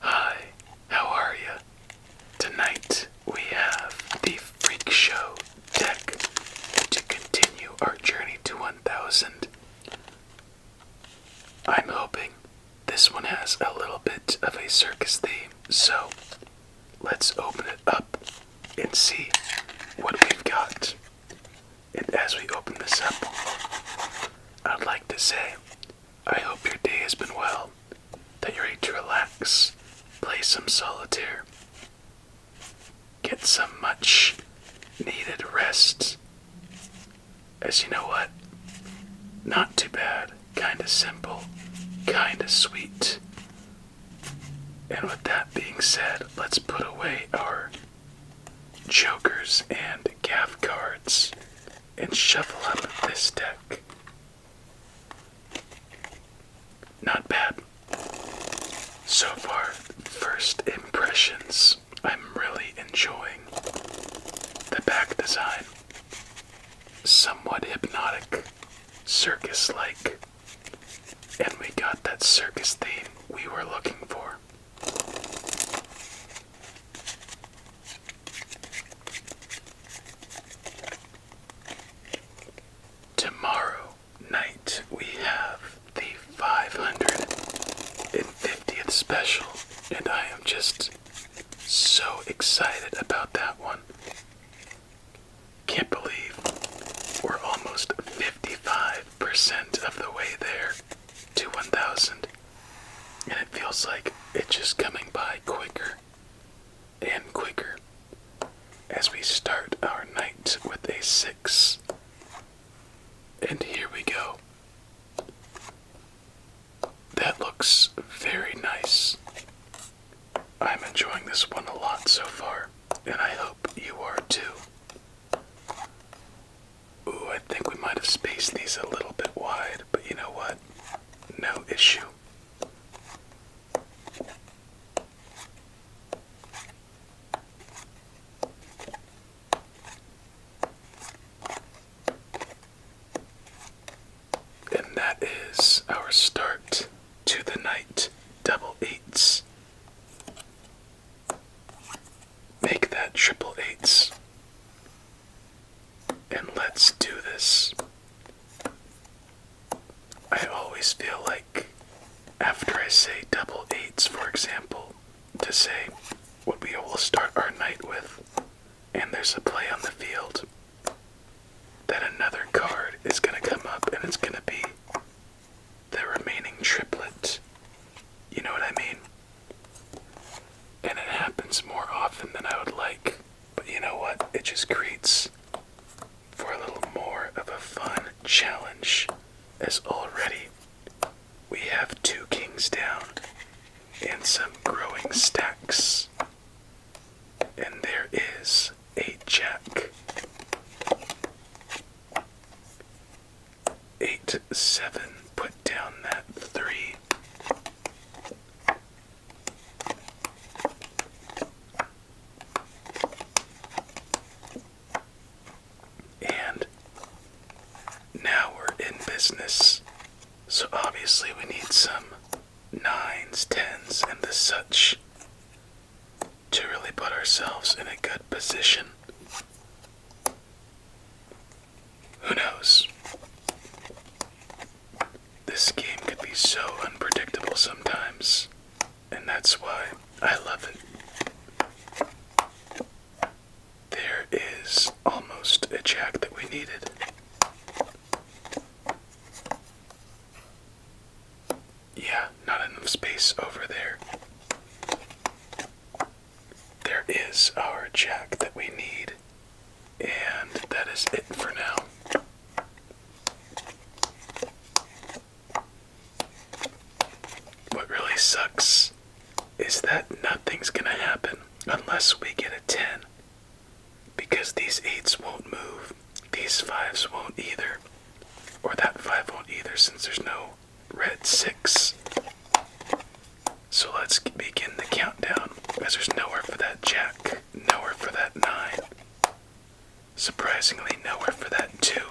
Hi, how are you? Tonight we have the Freak Show deck to continue our journey to 1000. I'm hoping this one has a little bit of a circus theme, so let's open it up and see what we've got. And as we open this up, I'd like to say, I hope your day has been well, that you're ready to relax, play some solitaire, get some much needed rest. As you know what? Not too bad, kinda simple, kinda sweet. And with that being said, let's put away our jokers, and gaff cards and shuffle up this deck. Not bad. So far, first impressions. I'm really enjoying the back design. Somewhat hypnotic, circus like. And we got that circus theme we were looking for. Tomorrow night we have the 550th special, and I am just so excited about that one. Can't believe we're almost 55% of the way there to 1,000. And it feels like it's just coming by quicker and quicker as we start our night with a six. And here we go. That looks very nice. I'm enjoying this one a lot so far, and I hope you are too. Ooh, I think we might have spaced these a little bit wide, but you know what? No issue. And that is our start to the night double eights. Make that triple eights. And let's do this. I always feel like after I say double eights, for example, to say what we will start our night with, and there's a play on the field, that another card is going to come up and it's going to be the remaining triplet. You know what I mean? And it happens more often than I would like. But you know what? It just creates for a little more of a fun challenge. As already we have two kings down and some growing stacks. And there is a jack eight, seven. Put down that three. And now we're in business. So obviously we need some nines, tens, and the such to really put ourselves in a good position. Who knows? This game could be so unpredictable sometimes, and that's why I love it. There is almost a jack that we needed. Yeah, not enough space over there there is our jack that we need, and that is it for now. What really sucks is that nothing's gonna happen unless we get a 10. Because these 8s won't move, these 5s won't either, or that 5 won't either since there's no red six. So let's begin the countdown, Cause there's nowhere for that jack, nowhere for that nine. Surprisingly, nowhere for that two.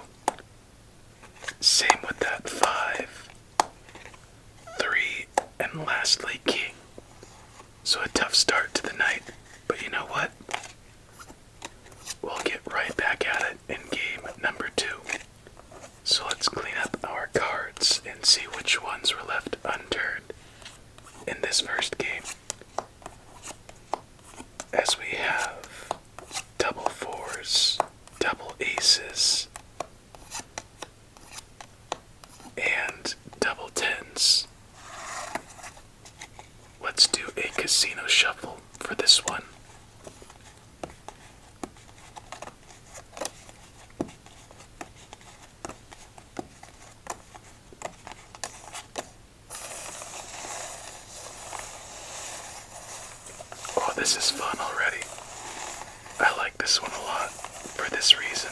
Same with that five, three, and lastly, king. So a tough start to the night, but you know what? We'll get right back at it in game number two. So let's clean up our cards and see which ones were left unturned in this first game. As we have double fours, double aces, and double tens. Let's do a casino shuffle for this one. Oh, this is fun already. I like this one a lot for this reason.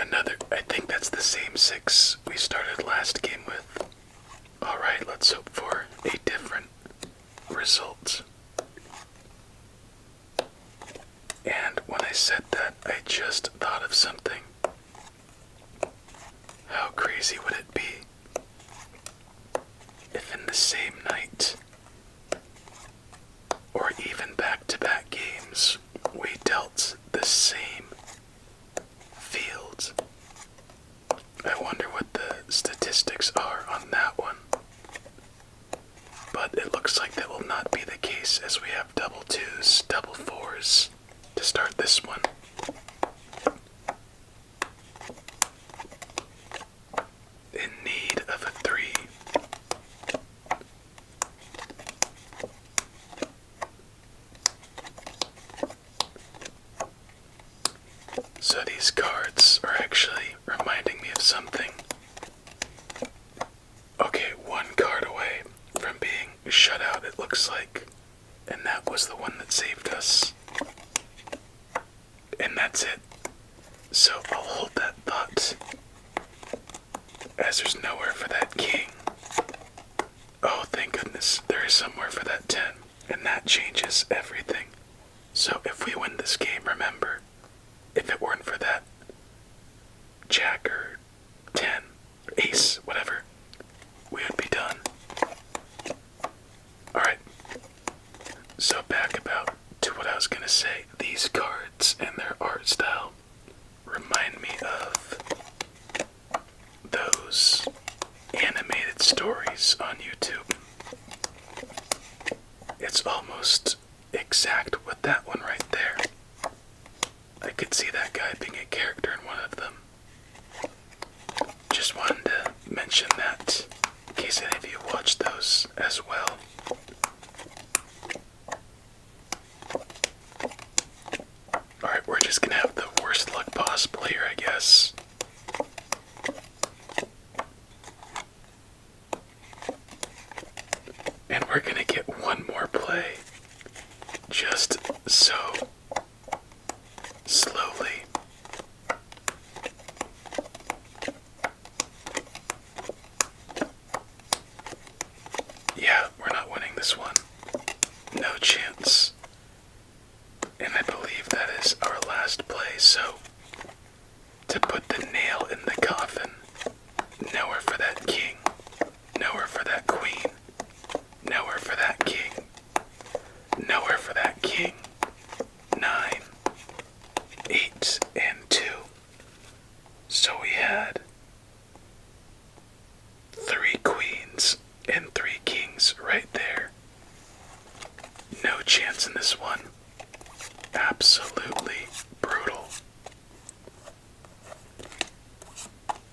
Another, I think that's the same six we started last game with. Alright, let's hope for a different results. And when I said that, I just thought of something. How crazy would it be if in the same night, or even back to back games, we dealt the same fields? I wonder what the statistics are on that one. But it looks like that will not be the case as we have double twos, double fours to start this one. In need of a three. So these cards are actually reminding me of something. Okay, one card away from being shut out, it looks like. And that was the one that saved us. And that's it. So I'll hold that thought. As there's nowhere for that king. Oh, thank goodness, there is somewhere for that 10 and that changes everything. So if we win this game, remember, if it weren't for that jack or 10, ace, whatever, we would be done. Alright, so back about to what I was gonna say. These cards and their art style remind me of those animated stories on YouTube. It's almost exact with that one right there. I could see that guy being a character in one of them. Just wanted to mention that in case any of you watch those as well. Alright, we're just gonna have the worst luck possible here, I guess. And we're going to get one more play just so slowly. Yeah, we're not winning this one. No chance. And I believe that is our last play, so to put the nail in the coffin. Nowhere for that king. Nowhere for that queen. Nowhere for that king. Nowhere for that king. Nine, eight, and two. So we had three queens and three kings right there. No chance in this one. Absolutely brutal.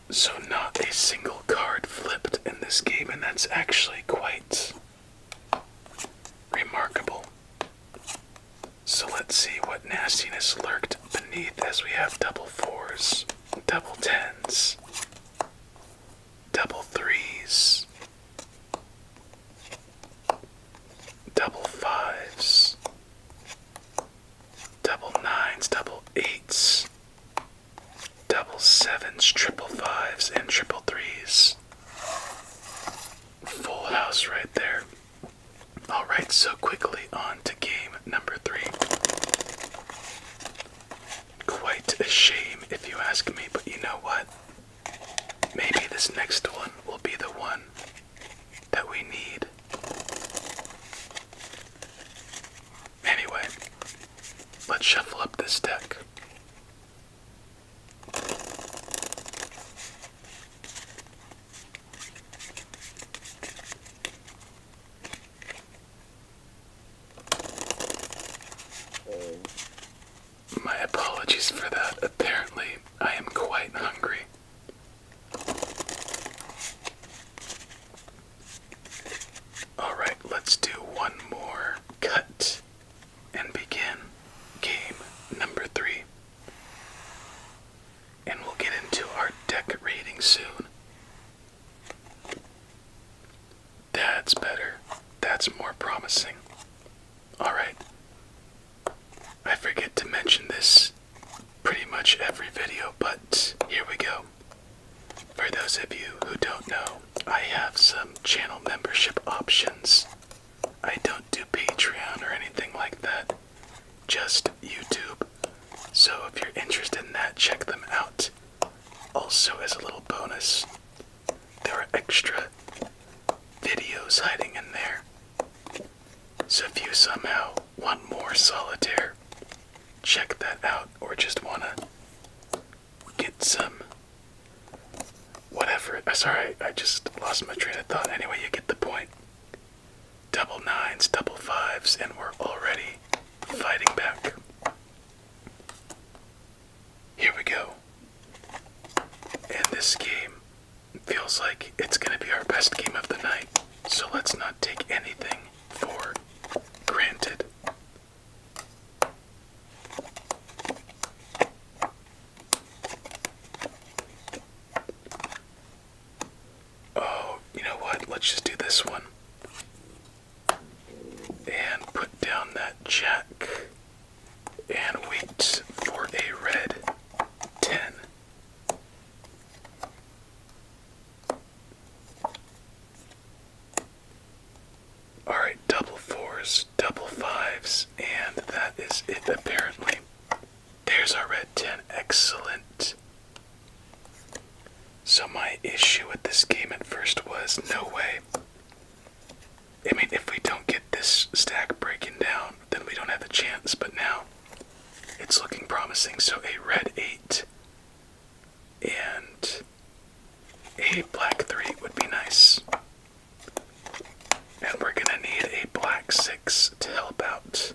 So, not a single card flipped in this game, and that's actually quite remarkable. So, let's see what nastiness lurked beneath as we have double fours, double tens, double threes, double fives, double nines, double eights, double sevens, triple fives, and triple threes. Full house right there. Alright, so quickly on to game number three. Quite a shame if you ask me, but you know what? Maybe this next one will be the one that we need. Anyway, let's shuffle up this deck. My apologies for that. Apparently, I am quite hungry. Alright, let's do one more cut and begin game number three. And we'll get into our deck soon. That's better. That's more promising. Alright. I forget to mention this pretty much every video, but here we go. For those of you who don't know, I have some channel membership options. I don't do Patreon or anything like that, just YouTube. So if you're interested in that, check them out. Also, as a little bonus, there are extra videos hiding in there. So if you somehow want more solitaire, check that out, or just want to get some whatever. Uh, sorry, I just lost my train of thought. Anyway, you get the point. Double nines, double fives, and we're already fighting back. Here we go. And this game feels like it's going to be our best game of the night, so let's not take anything for granted. Oh, you know what? Let's just do this one and put down that jack and waits for a red 10. Alright, double fours, double fives, and that is it apparently. There's our red 10. Excellent. So, my issue with this game at first was no way I mean, if we don't get this stack breaking down, then we don't have a chance. But now it's looking promising. So a red 8 and a black 3 would be nice. And we're going to need a black 6 to help out.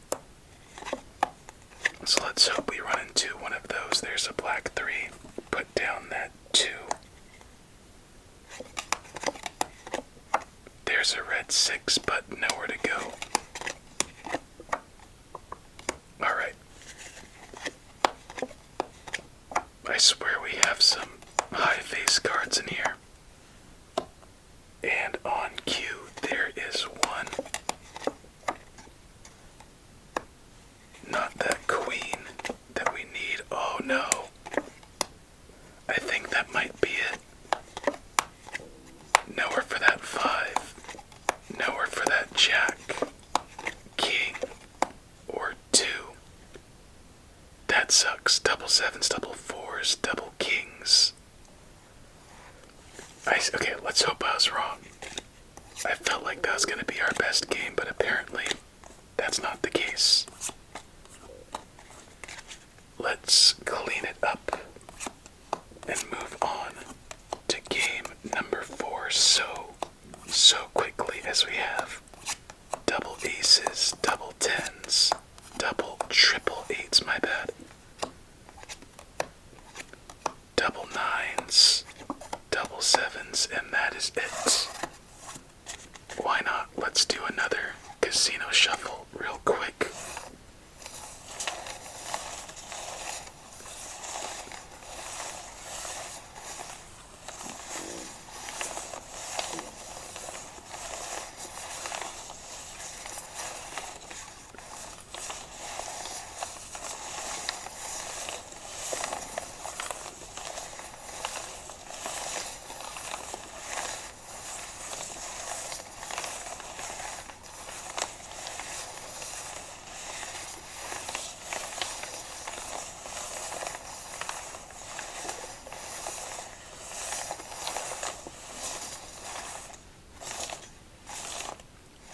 So let's hope we run into one of those. There's a black 3 down that 2. There's a red 6, but nowhere to go. Alright. I swear we have some high face cards in here. And on cue, there is one. Not that queen that we need. Oh no. I think that might be it. Nowhere for that five. Nowhere for that jack, king, or two. That sucks. Double sevens, double fours, double kings. okay, let's hope I was wrong. I felt like that was going to be our best game, but apparently that's not the case. Let's clean it up and move on to game number four so, so quickly as we have double aces, double tens, double triple eights, my bad, double nines, double sevens, and that is it. Why not? Let's do another casino shuffle real quick.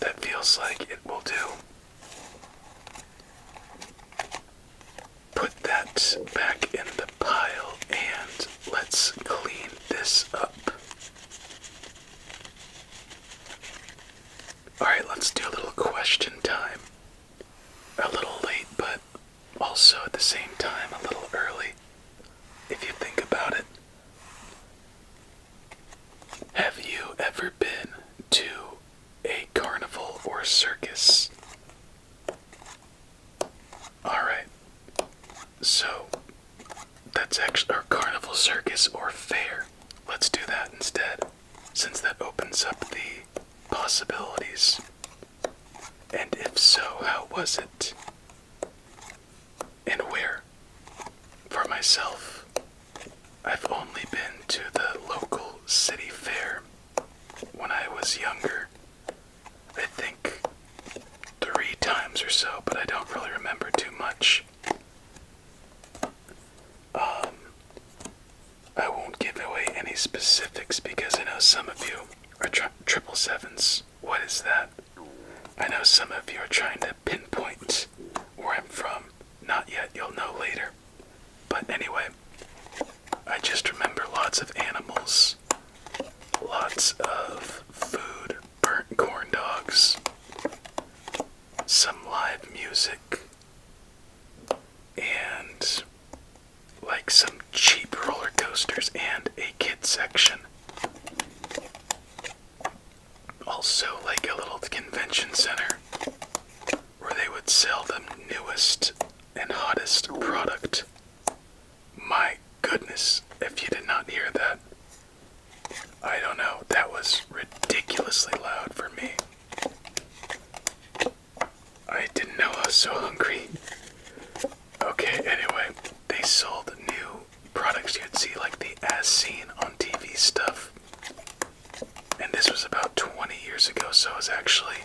That feels like it will do. Put that back in the pile and let's clean this up. Alright, let's do a little question time. A little late, but also at the same time a little early, if you think about it. Have you ever been to a carnival or circus. Alright, so that's actually our carnival, circus, or fair. Let's do that instead, since that opens up the possibilities. And if so, how was it? And where? For myself, I've only been to the local city fair when I was younger. I think three times or so, but I don't really remember too much. Um, I won't give away any specifics because I know some of you are tri triple sevens. What is that? I know some of you are trying to pinpoint where I'm from. Not yet, you'll know later. But anyway, I just remember lots of animals, lots of food, burnt corn dogs, some live music, and like some cheap roller coasters and a kid section. Also, like a little convention center where they would sell the newest and hottest product. My goodness, if you did not hear that, I don't know, that was ridiculously loud for me. I didn't know I was so hungry. Okay, anyway, they sold new products you'd see, like the as seen on TV stuff. And this was about 20 years ago, so it was actually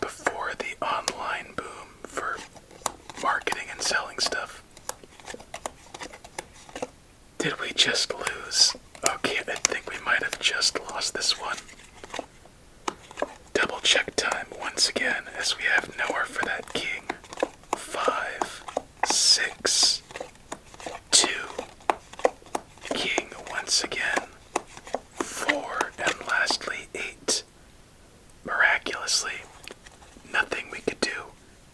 before the online boom for marketing and selling stuff. Did we just lose? Okay, I think we might have just lost this one. Double check time once again, as we have nowhere for that king. Five, six, Two. King once again. Four. And lastly, eight. Miraculously, nothing we could do.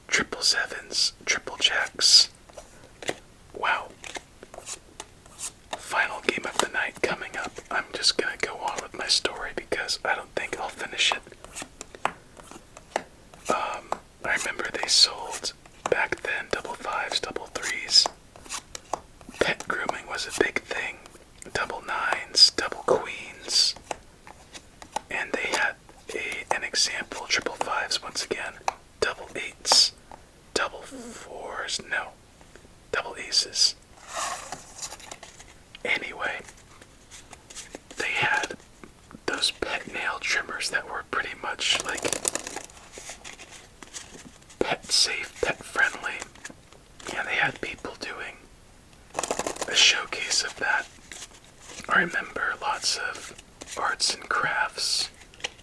Triple sevens, triple jacks. Wow. Final game of the night coming up. I'm just gonna go on with my story because I don't think I'll finish it. Um, I remember they sold back then double fives, double threes. Pet grooming was a big thing. Double nines, double queens. And they had a, an example triple fives once again, double eights, double fours, no, double aces. Anyway, they had those pet nail trimmers that were pretty much like pet safe, pet friendly. Yeah, they had people doing a showcase of that. I remember lots of arts and crafts,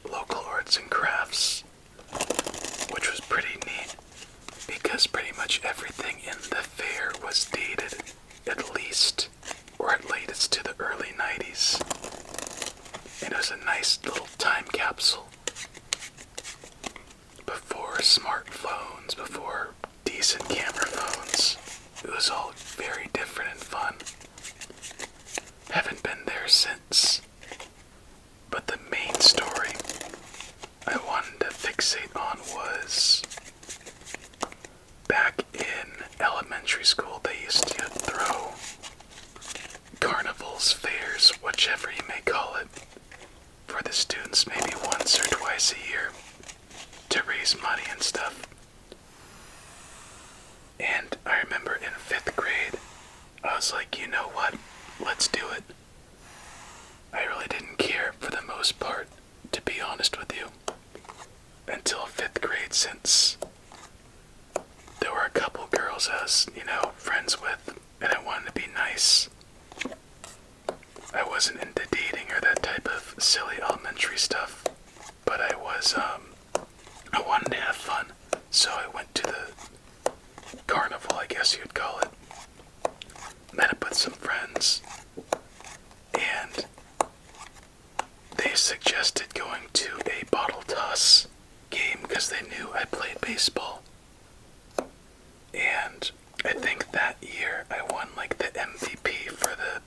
local arts and crafts, which was pretty neat because pretty much everything in the fair was dated at least or at latest to the early 90s. And it was a nice little time capsule. Before smartphones, before decent camera phones, it was all very different and fun. Haven't been there since. But the main story I wanted to fixate on was back in elementary school, they used to throw carnivals, fairs, whichever you may call it, for the students maybe once or twice a year to raise money and stuff. And I remember in fifth grade, I was like, you know what? Let's do it. I really didn't care for the most part, to be honest with you, until fifth grade, since there were a couple girls I was, you know, friends with, and I wanted to be nice. I wasn't into dating or that type of silly elementary stuff, but I was, um, I wanted to have fun, so I went to the carnival, I guess you'd call it. Met up with some friends, and they suggested going to a bottle toss game because they knew I played baseball. And I think that year I won like the MVP for the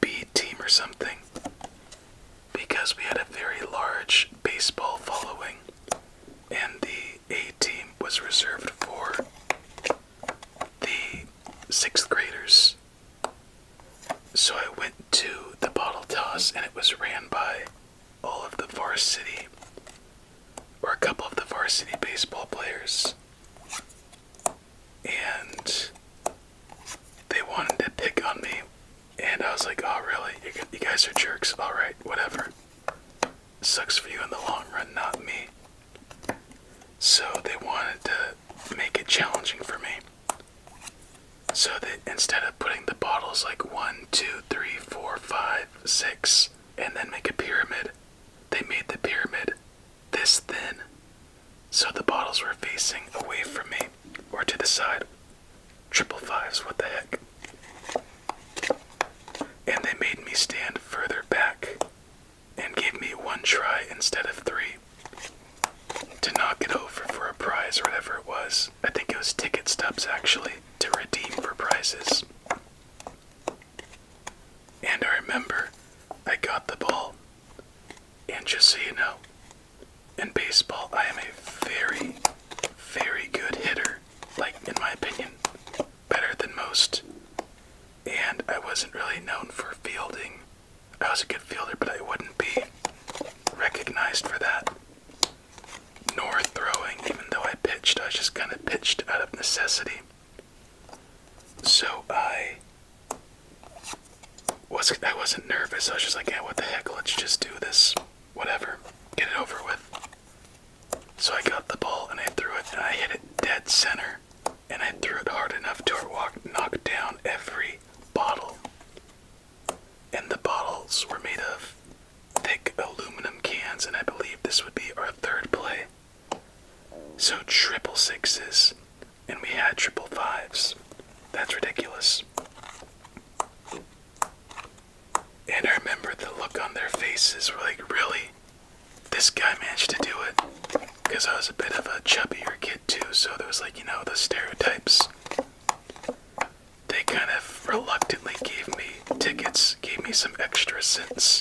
B team or something because we had a very large baseball following and the A team was reserved for the sixth graders so I went to the bottle toss and it was ran by all of the varsity or a couple of the varsity baseball players. And they wanted to pick on me. And I was like, oh, really? You guys are jerks. All right, whatever. Sucks for you in the long run, not me. So they wanted to make it challenging for me. So that instead of putting the bottles like one, two, three, four, five, six, and then make a pyramid, they made the pyramid this thin. So the bottles were facing away from me or to the side. Triple fives, what the heck? And they made me stand further back and gave me one try instead of three to knock it over for a prize or whatever it was. I think it was ticket stubs actually to redeem for prizes. And I remember I got the ball. And just so you know, in baseball, I am a very, very good hitter. Like, in my opinion, better than most. And I wasn't really known for fielding I was a good fielder, but I wouldn't be recognized for that. Nor throwing, even though I pitched, I just kind of pitched out of necessity. So I was I wasn't nervous. I was just like, yeah, what the heck? Let's just do this. Whatever. Get it over with. So I got the ball and I threw it and I hit it dead center. And I threw it hard enough to walk knock down every bottle. And the bottles were made of thick aluminum cans, and I believe this would be our third play. So triple sixes, and we had triple fives. That's ridiculous. And I remember the look on their faces were like, really? This guy managed to do it? Because I was a bit of a chubbier kid too, so there was like, you know, the stereotypes they kind of reluctantly gave me tickets, gave me some extra cents.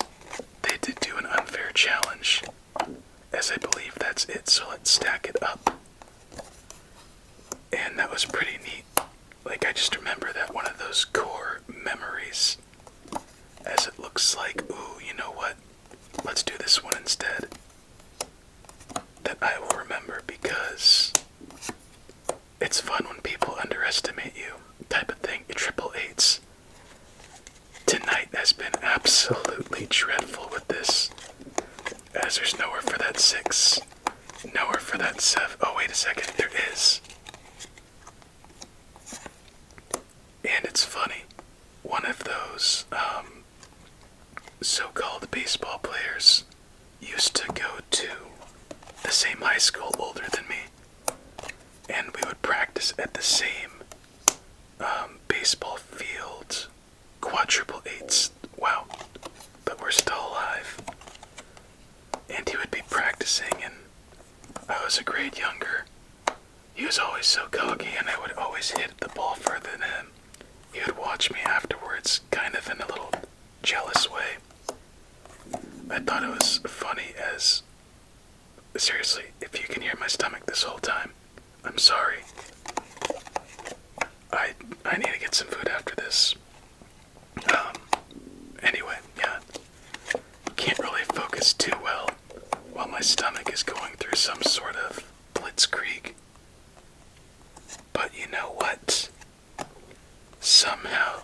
they did do an unfair challenge, as I believe that's it. So let's stack it up. And that was pretty neat. Like, I just remember that one of those core memories. As it looks like, ooh, you know what? Let's do this one instead that I will remember because it's fun when people underestimate you, type of thing. Triple eights. Tonight has been absolutely dreadful with this, as there's nowhere for that six, nowhere for that seven. Oh, wait a second, there is. And it's funny, one of those um, so-called baseball players used to go to the same high school older than me, and we would practice at the same um, baseball field. Quadruple eights. Wow. But we're still alive. And he would be practicing, and I was a grade younger. He was always so cocky, and I would always hit the ball further than him. He would watch me afterwards, kind of in a little jealous way. I thought it was funny as. Seriously, if you can hear my stomach this whole time, I'm sorry. I I need to get some food after this. Um. Anyway, yeah. Can't really focus too well while my stomach is going through some sort of blitzkrieg. But you know what? Somehow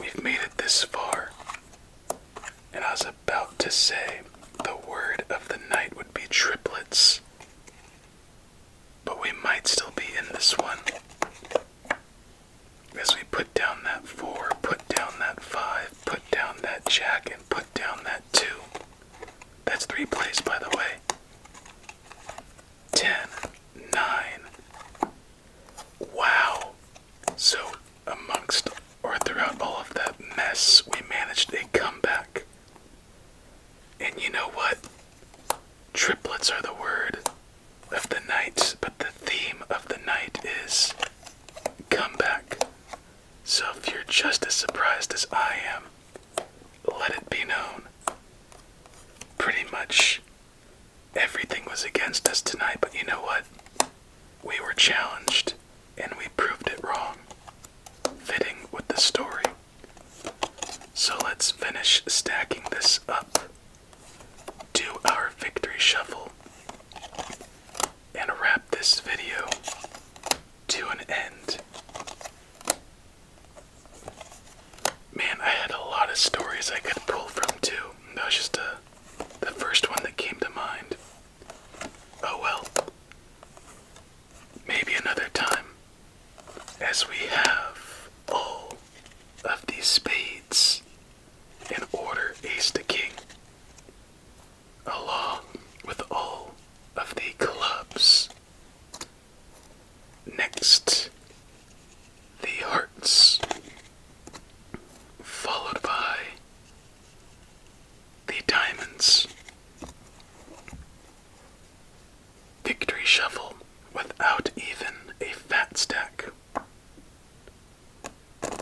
we've made it this far. And I was about to say the word of the night would be triplets. But we might still be in this one. because we put down that four, put down that five, put down that jack, and put down that two. That's three plays, by the way. 10, 9. Wow. So, amongst or throughout all of that mess, we managed a comeback. And you know what? Triplets are the word of the night, but the theme of the night is comeback. So, if you're just as surprised as I am, let it be known. Pretty much everything was against us tonight, but you know what? We were challenged and we proved it wrong, fitting with the story. So let's finish stacking this up. Do our victory shuffle and wrap this video to an end. Man, I had a lot of stories I could pull from too. That was just a, uh, the first one that came to mind. Oh well. Maybe another time. As we have all of these spades in order ace to king, along with all of the clubs Next, the hearts, followed by the diamonds. Victory shuffle without even a fat stack. And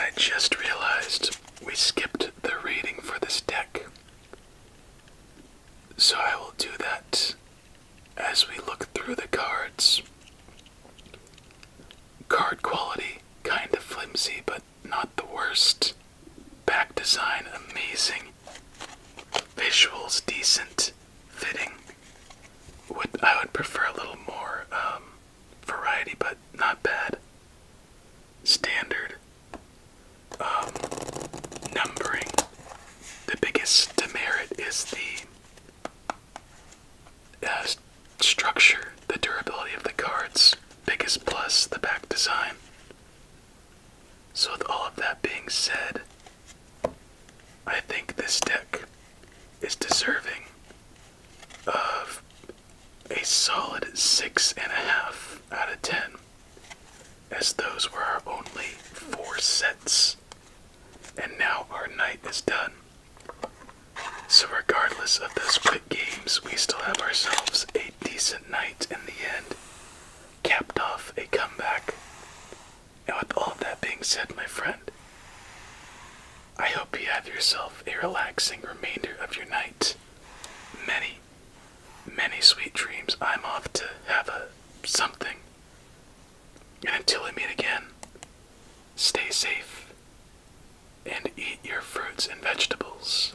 I just realized we skipped the rating for this deck. So I will do that as we look through the cards. Card quality, kind of flimsy, but not the worst. Back design, amazing. Visuals, decent. Fitting. Would, I would prefer a little more um, variety, but not bad. Standard, um, numbering, the biggest demerit is the uh, structure, the durability of the cards. Biggest plus, the back design. So, with all of that being said, I think this deck is deserving of a solid six and a half out of ten, as those were our only four sets. And now our night is done. So, regardless of those split games, we still have ourselves a decent night in the end, capped off a comeback. And with all that being said, my friend, I hope you have yourself a relaxing remainder of your night. Many many sweet dreams. I'm off to have a something. And until we meet again, stay safe and eat your fruits and vegetables.